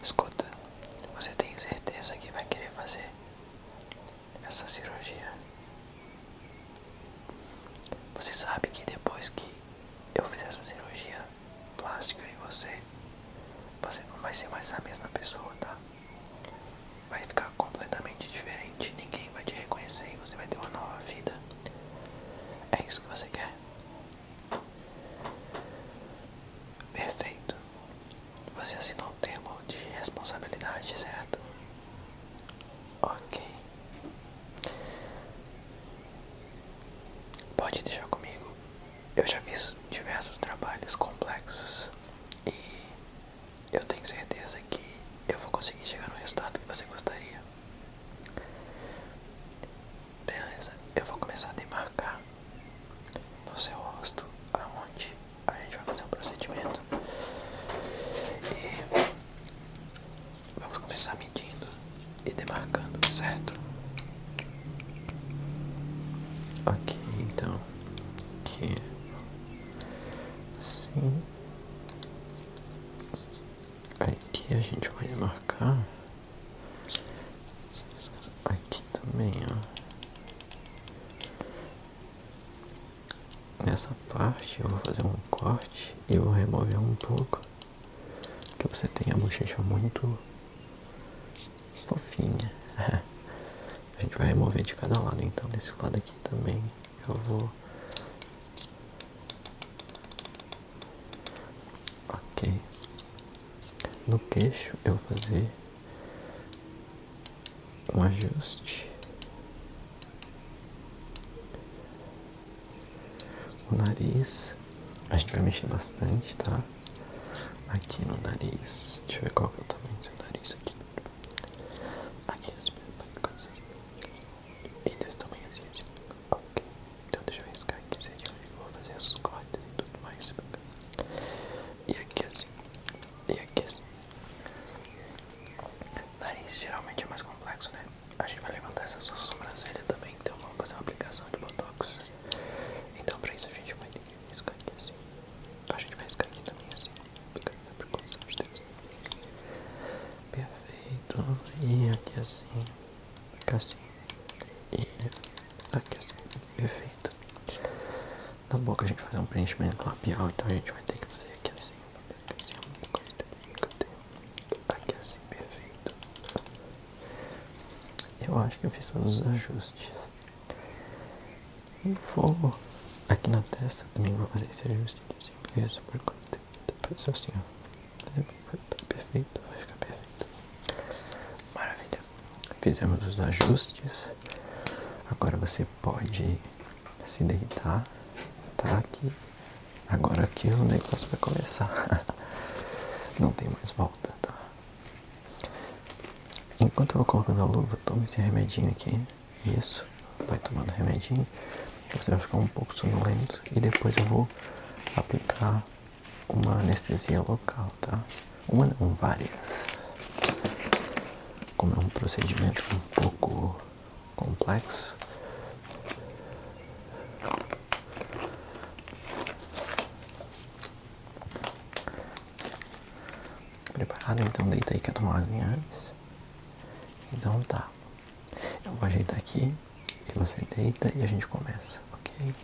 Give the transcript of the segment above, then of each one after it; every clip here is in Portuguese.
Escuta, você tem certeza que vai querer fazer essa cirurgia? Você sabe que depois que eu fizer essa cirurgia plástica em você, você não vai ser mais a mesma pessoa, tá? Vai ficar completamente diferente, ninguém vai te reconhecer e você vai ter uma nova vida. É isso que você quer? Perfeito. Você assinou um termo de responsabilidade, certo? Ok. Pode deixar comigo. Eu já fiz diversos trabalhos complexos e eu tenho certeza que eu vou conseguir chegar no resultado que você gostaria. Beleza, eu vou começar a demarcar no seu rosto aonde a gente vai fazer o um procedimento. E vamos começar medindo e demarcando, certo? Ok, então, aqui, sim. Aqui a gente vai marcar Aqui também, ó. Nessa parte eu vou fazer um corte e vou remover um pouco. Que você tem a bochecha muito fofinha. a gente vai remover de cada lado, então desse lado aqui também eu vou Ok. No queixo eu vou fazer um ajuste. O nariz, a gente vai mexer bastante, tá? Aqui no nariz, deixa eu ver qual é o tamanho do seu nariz aqui. Aqui, assim, e desse tamanho é assim, assim. ok. Então deixa eu riscar aqui certinho onde vou fazer as cordas e tudo mais. E aqui assim. E aqui assim. Nariz geralmente é mais complexo, né? A gente vai levantar essa sua sobrancelha também, então vamos fazer uma aplicação de botox. Então pra isso a gente vai ter que riscar aqui assim. A gente vai riscar aqui também assim. Por condição de Deus. Perfeito. E aqui assim. Aqui assim. E Aqui assim, perfeito. Na tá boca a gente faz um preenchimento labial, então a gente vai ter que fazer aqui assim, assim aqui assim, perfeito. Eu acho que eu fiz todos os ajustes. E vou aqui na testa também vou fazer esse ajuste aqui assim, isso, por conta. Depois assim, ó. Perfeito, vai ficar perfeito. Maravilha. Fizemos os ajustes. Agora você pode se deitar, tá aqui. Agora aqui o negócio vai começar. Não tem mais volta, tá? Enquanto eu vou colocando a luva, toma esse remedinho aqui. Isso. Vai tomando remedinho. Você vai ficar um pouco sonolento. E depois eu vou aplicar uma anestesia local, tá? Uma não, várias. Como é um procedimento um pouco complexo. Preparado? Então deita aí, quer tomar água antes? Então tá. Eu vou ajeitar aqui que você deita e a gente começa, ok?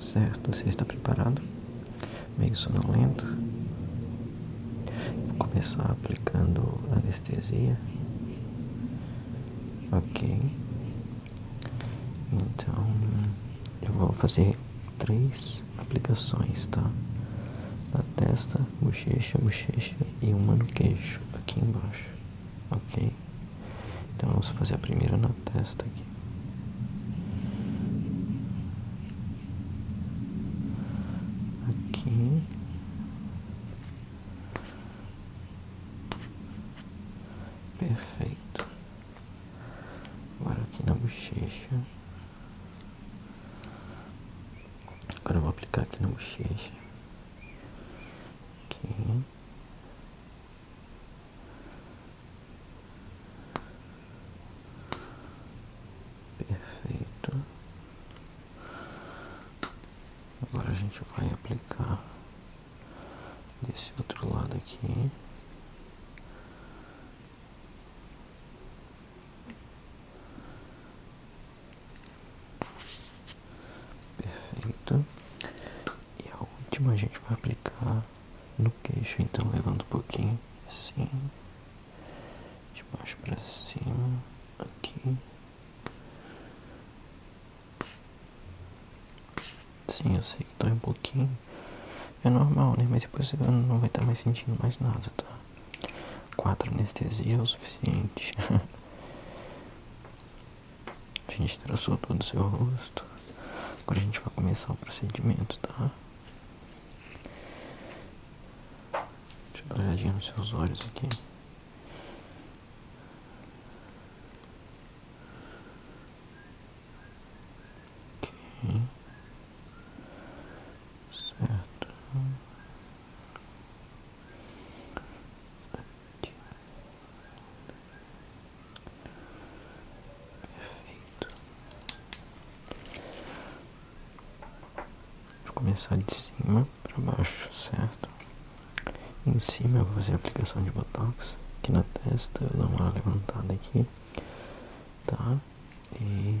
Certo, você está preparado? Meio sonolento? Vou começar aplicando anestesia. Ok. Então, eu vou fazer três aplicações, tá? Na testa, bochecha, bochecha e uma no queixo, aqui embaixo ok? Então vamos fazer a primeira na testa aqui. Aqui. Perfeito. Agora aqui na bochecha. Agora vou aplicar aqui na bochecha. Aqui. Perfeito. Agora a gente vai aplicar desse outro lado aqui. Perfeito. E a última a gente vai aplicar no queixo, então levando um pouquinho assim, de baixo para cima, aqui. Sim, eu sei que dói um pouquinho. É normal, né? Mas depois você não vai estar mais sentindo mais nada, tá? Quatro anestesia é o suficiente. A gente traçou todo o seu rosto. Agora a gente vai começar o procedimento, tá? Deixa eu dar uma olhadinha nos seus olhos aqui. Ok. Certo. Perfeito. Vou começar de cima para baixo, certo? Em cima eu vou fazer a aplicação de botox aqui na testa, eu dou uma levantada aqui, tá? E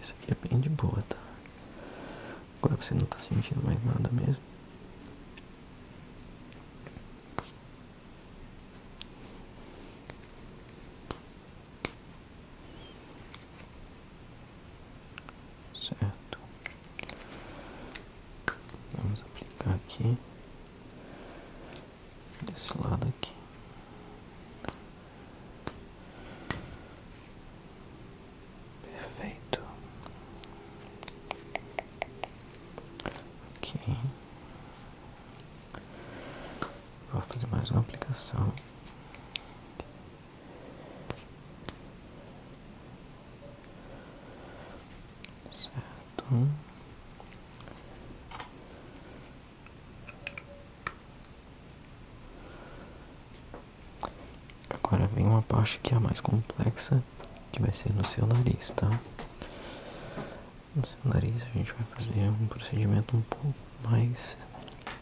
Isso aqui é bem de boa, tá? Agora você não tá sentindo mais nada mesmo. Certo. Vamos aplicar aqui desse lado aqui. Perfeito. Ok. Vou fazer mais uma aplicação. Certo. Agora vem uma parte que é a mais complexa, que vai ser no seu nariz, tá? No seu nariz a gente vai fazer um procedimento um pouco mais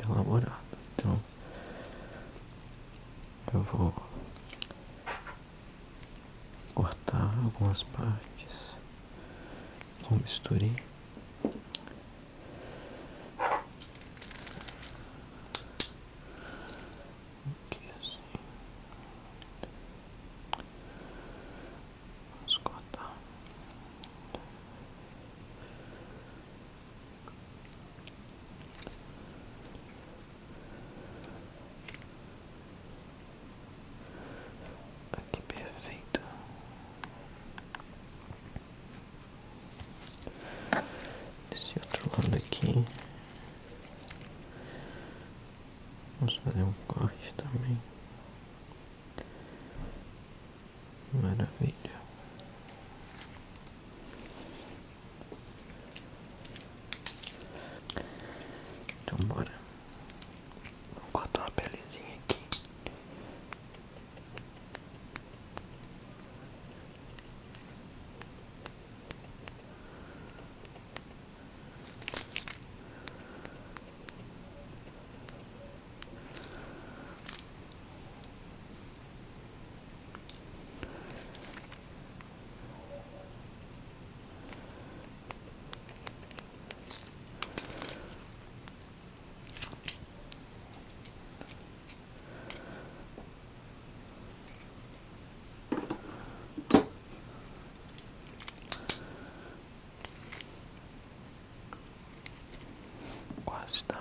elaborado. Então, eu vou cortar algumas partes com misturei Aqui assim. Vamos Aqui perfeito. Desse outro lado aqui. Vamos fazer um corte também. Maravilha. Então bora. Vou cortar uma pelezinha aqui. Quase está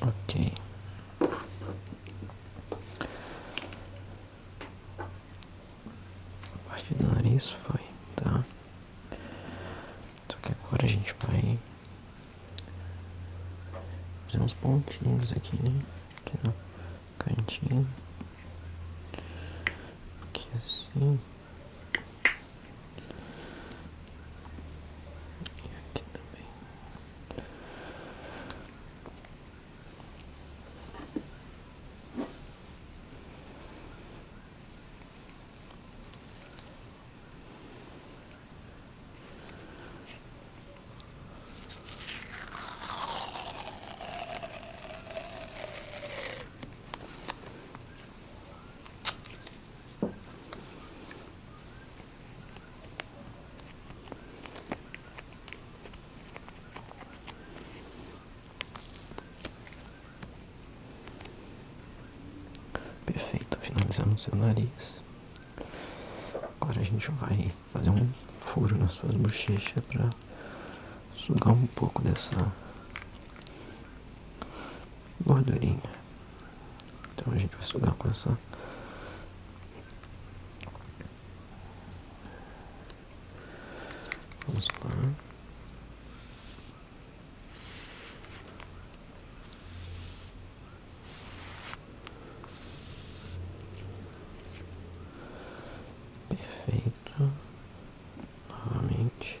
Ok. A parte do nariz foi, tá? Só que agora a gente vai Fazer pontinhos aqui, né? Aqui no cantinho. Aqui assim. Perfeito, finalizamos seu nariz. Agora a gente vai fazer um furo nas suas bochechas para sugar um pouco dessa gordurinha. Então a gente vai sugar com essa Vamos lá. Perfeito. Novamente.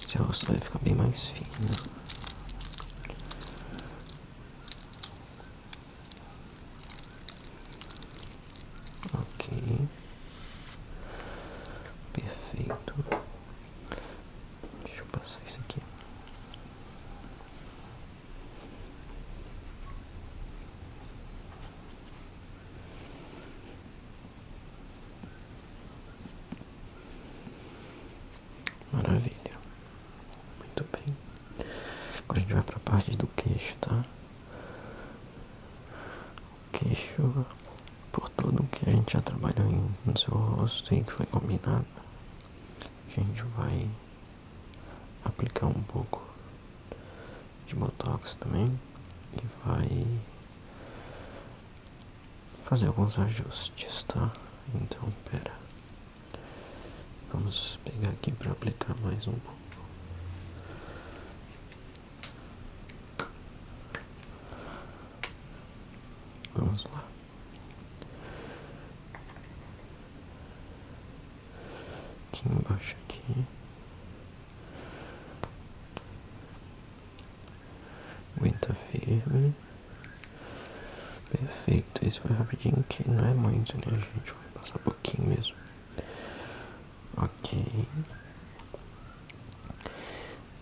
Seu rosto vai ficar bem mais fino. Ok. Perfeito. Deixa eu passar isso aqui. Maravilha. Muito bem. Agora a gente vai para a parte do queixo, tá? O queixo, por tudo que a gente já trabalhou no seu rosto e que foi combinado, a gente vai aplicar um pouco de botox também e vai fazer alguns ajustes, tá? Então, pera. Vamos pegar aqui para aplicar mais um pouco. Vamos lá. Aqui embaixo aqui. Aguenta firme. Perfeito, isso foi rapidinho que não é muito, né? A gente vai passar pouquinho mesmo. Ok.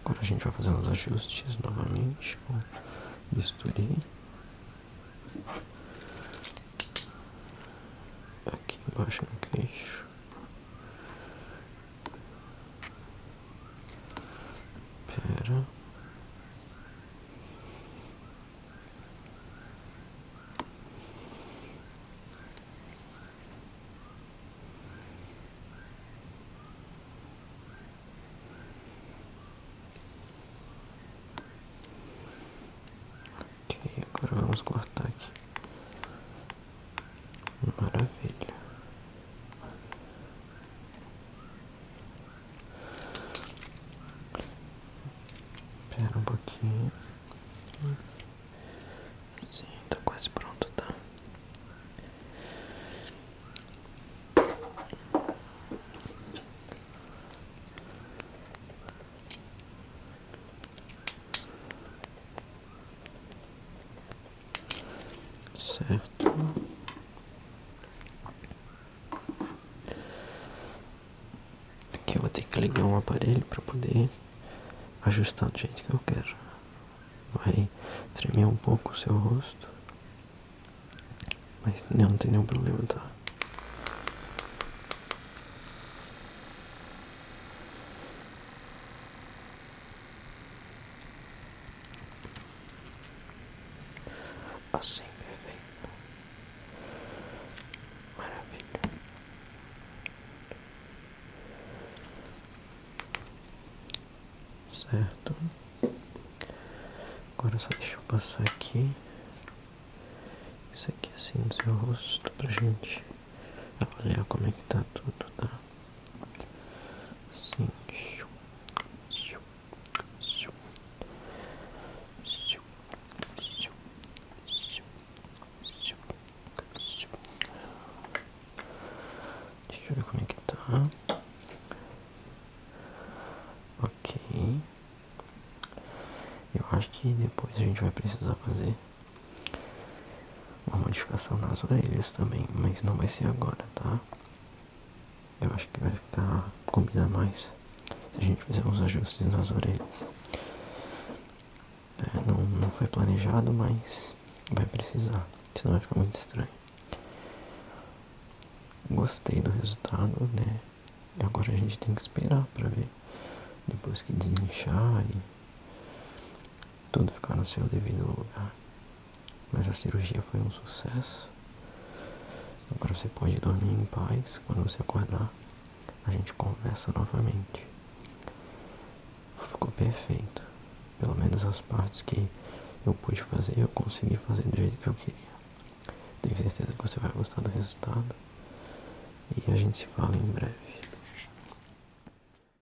Agora a gente vai fazer uns ajustes novamente com Aqui embaixo no queixo. Pera. Ok, agora vamos cortar aqui. Maravilha. Espera um pouquinho. Sim, está quase pronto, Tá certo aqui eu vou ter que ligar um aparelho para poder ajustar do jeito que eu quero vai tremer um pouco o seu rosto mas não tem nenhum problema tá Assim, perfeito. Maravilha. Certo. Agora só deixa eu passar aqui. Isso aqui assim no seu rosto pra gente olhar como é que tá tudo, tá? Sim. Deixa eu ver como é que tá. Ok. Eu acho que depois a gente vai precisar fazer uma modificação nas orelhas também, mas não vai ser agora, tá? Eu acho que vai ficar combinar mais se a gente fizer uns ajustes nas orelhas. É, não, foi planejado, mas vai precisar, senão vai ficar muito estranho. Gostei do resultado, né? E agora a gente tem que esperar pra ver depois que desinchar e tudo ficar no seu devido lugar. Mas a cirurgia foi um sucesso. Agora você pode dormir em paz. Quando você acordar, a gente conversa novamente. Ficou perfeito. Pelo menos as partes que eu pude fazer, eu consegui fazer do jeito que eu queria. Tenho certeza que você vai gostar do resultado. E a gente se fala em breve.